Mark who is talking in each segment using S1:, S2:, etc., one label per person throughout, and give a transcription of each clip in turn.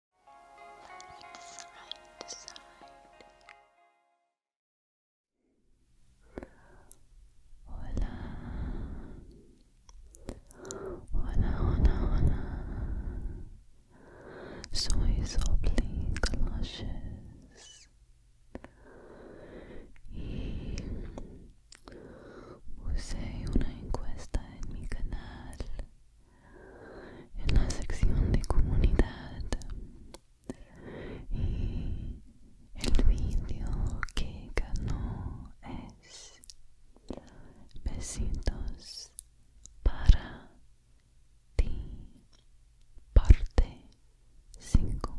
S1: side. Hola. Hola, hola, hola. Soy Sophie Galoshes. Y puse una encuesta en mi canal
S2: en la sección de comunidad y el vídeo que ganó es besitos para ti parte 5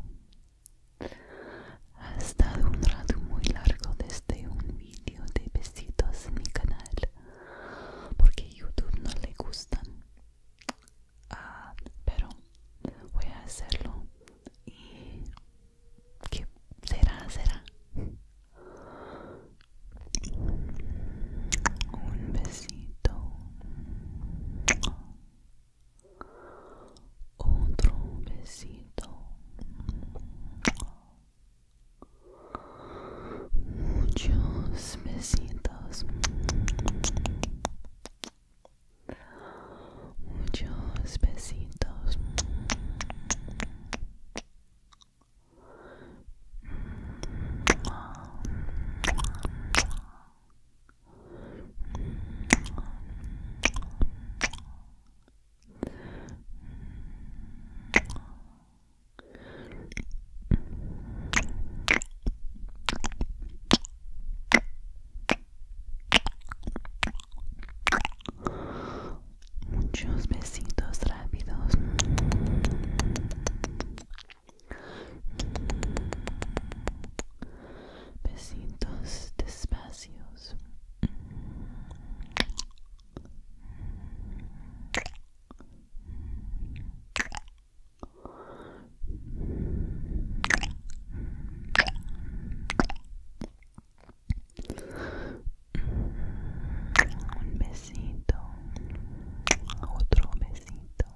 S2: ha estado un rato muy
S1: largo desde un vídeo de besitos en mi canal porque YouTube no le gustan ah, pero voy a hacerlo y que será será un besito otro besito muchos besitos muchos besitos Muchos besitos rápidos. Besitos despacios. Un besito, otro besito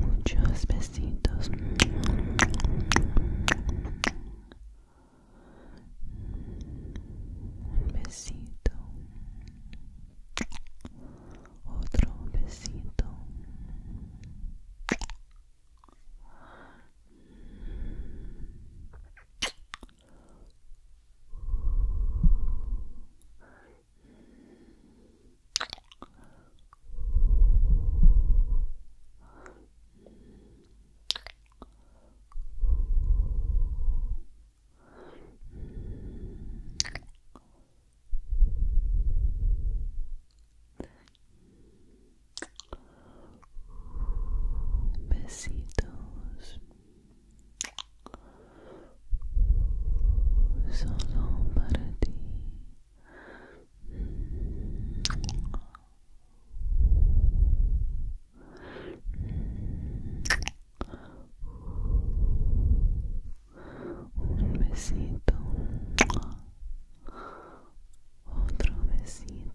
S1: muchos besitos un besito otro besito Besitos solo para ti. Un besito, otro besito.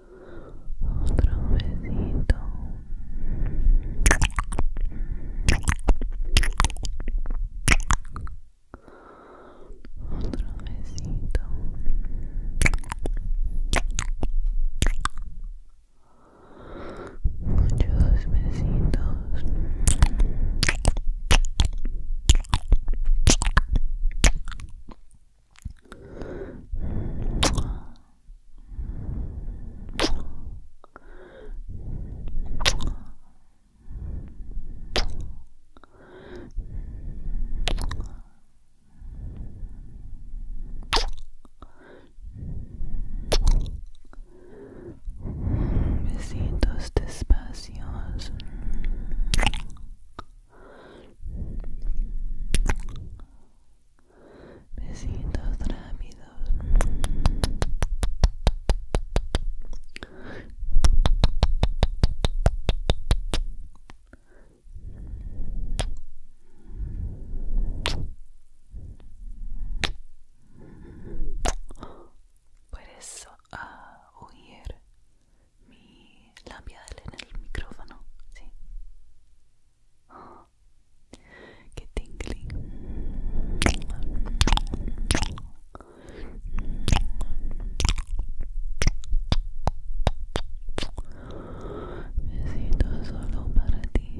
S1: otro besito otro besito muchos besitos Besitos despacios. Besitos rápidos. Puedes a huir mi labia en el micrófono, sí. ¡Ah! qué tingling. Besito solo para ti.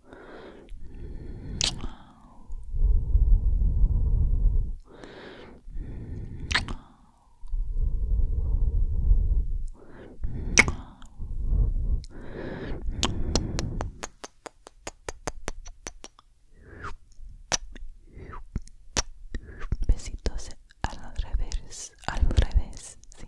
S1: Besitos al revés, al revés, sí.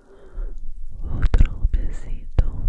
S1: otro besito un besito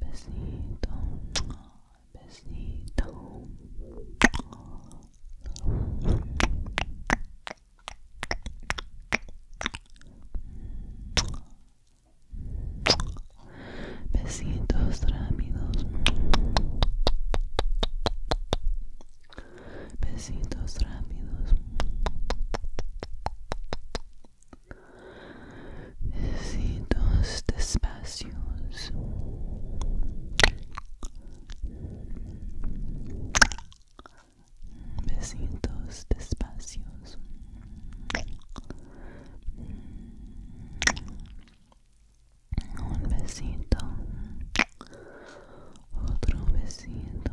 S1: Besitos, besitos, Besitos rápidos. Besitos rápidos. Besitos despacios. Besitos despacios. Un besito. Otro besito.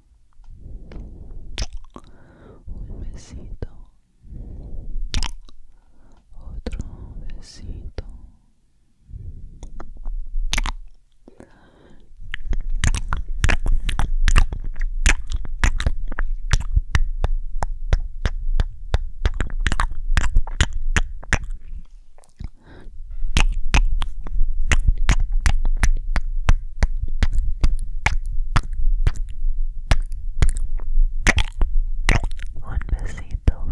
S1: un besito otro besito Un besito,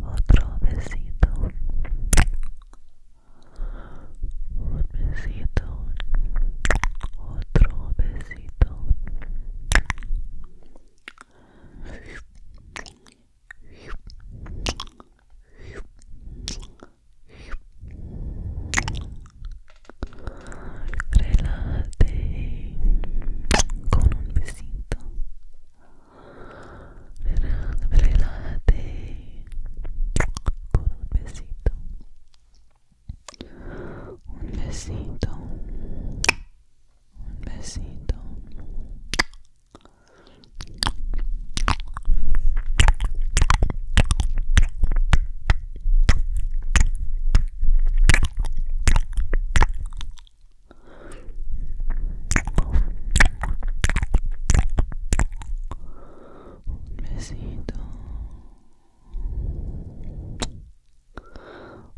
S1: otro besito, un besito, otro besito. Relájate con un besito. Relájate con un besito. Un besito. Un besito. besito. Un besito.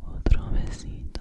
S1: Otro besito.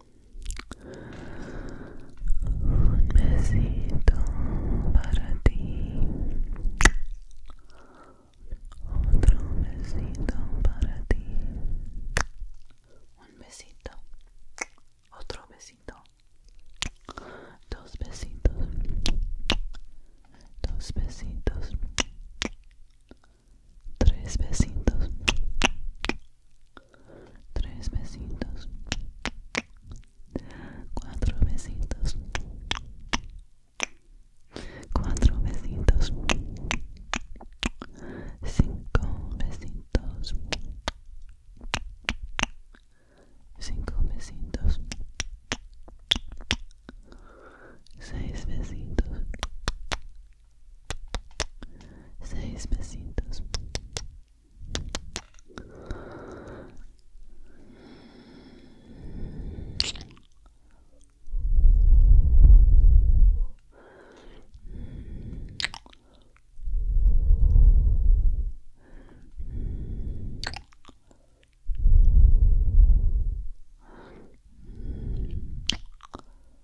S1: Un besito para ti. Otro besito para ti. Un besito. Otro besito. Dos besitos. Dos besitos. Tres besitos tres besitos, cuatro besitos, cuatro besitos, cinco besitos, cinco besitos, seis besitos seis besitos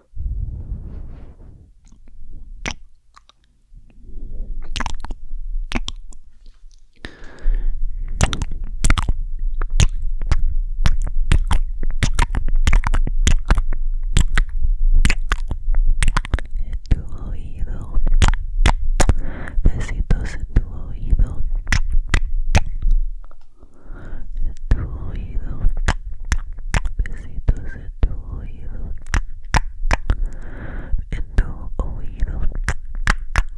S1: en tu oído besitos en tu oído en tu oído, besitos en tu oído, en tu oído,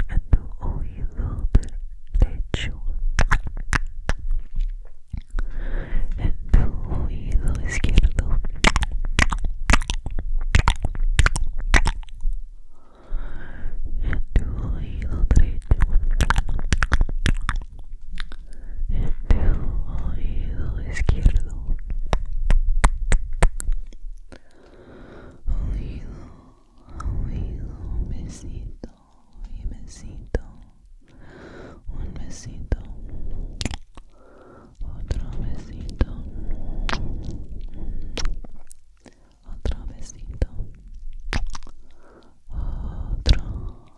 S1: en tu oído derecho, en tu oído izquierdo. En tu oído derecho, en este oído izquierdo oído oído besito y besito un besito otro besito otro besito otro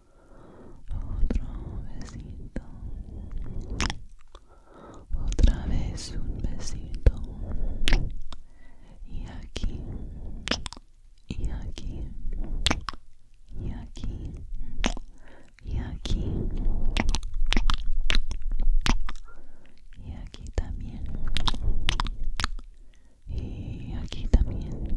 S1: otro besito otra vez un besito y aquí y aquí y aquí y aquí y aquí también y aquí también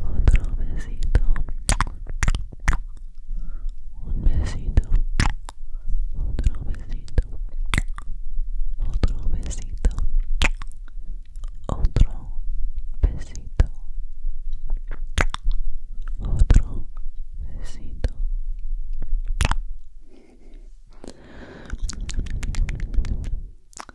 S1: Otro besito. Un besito. Otro besito. Otro besito. Otro besito. Otro besito.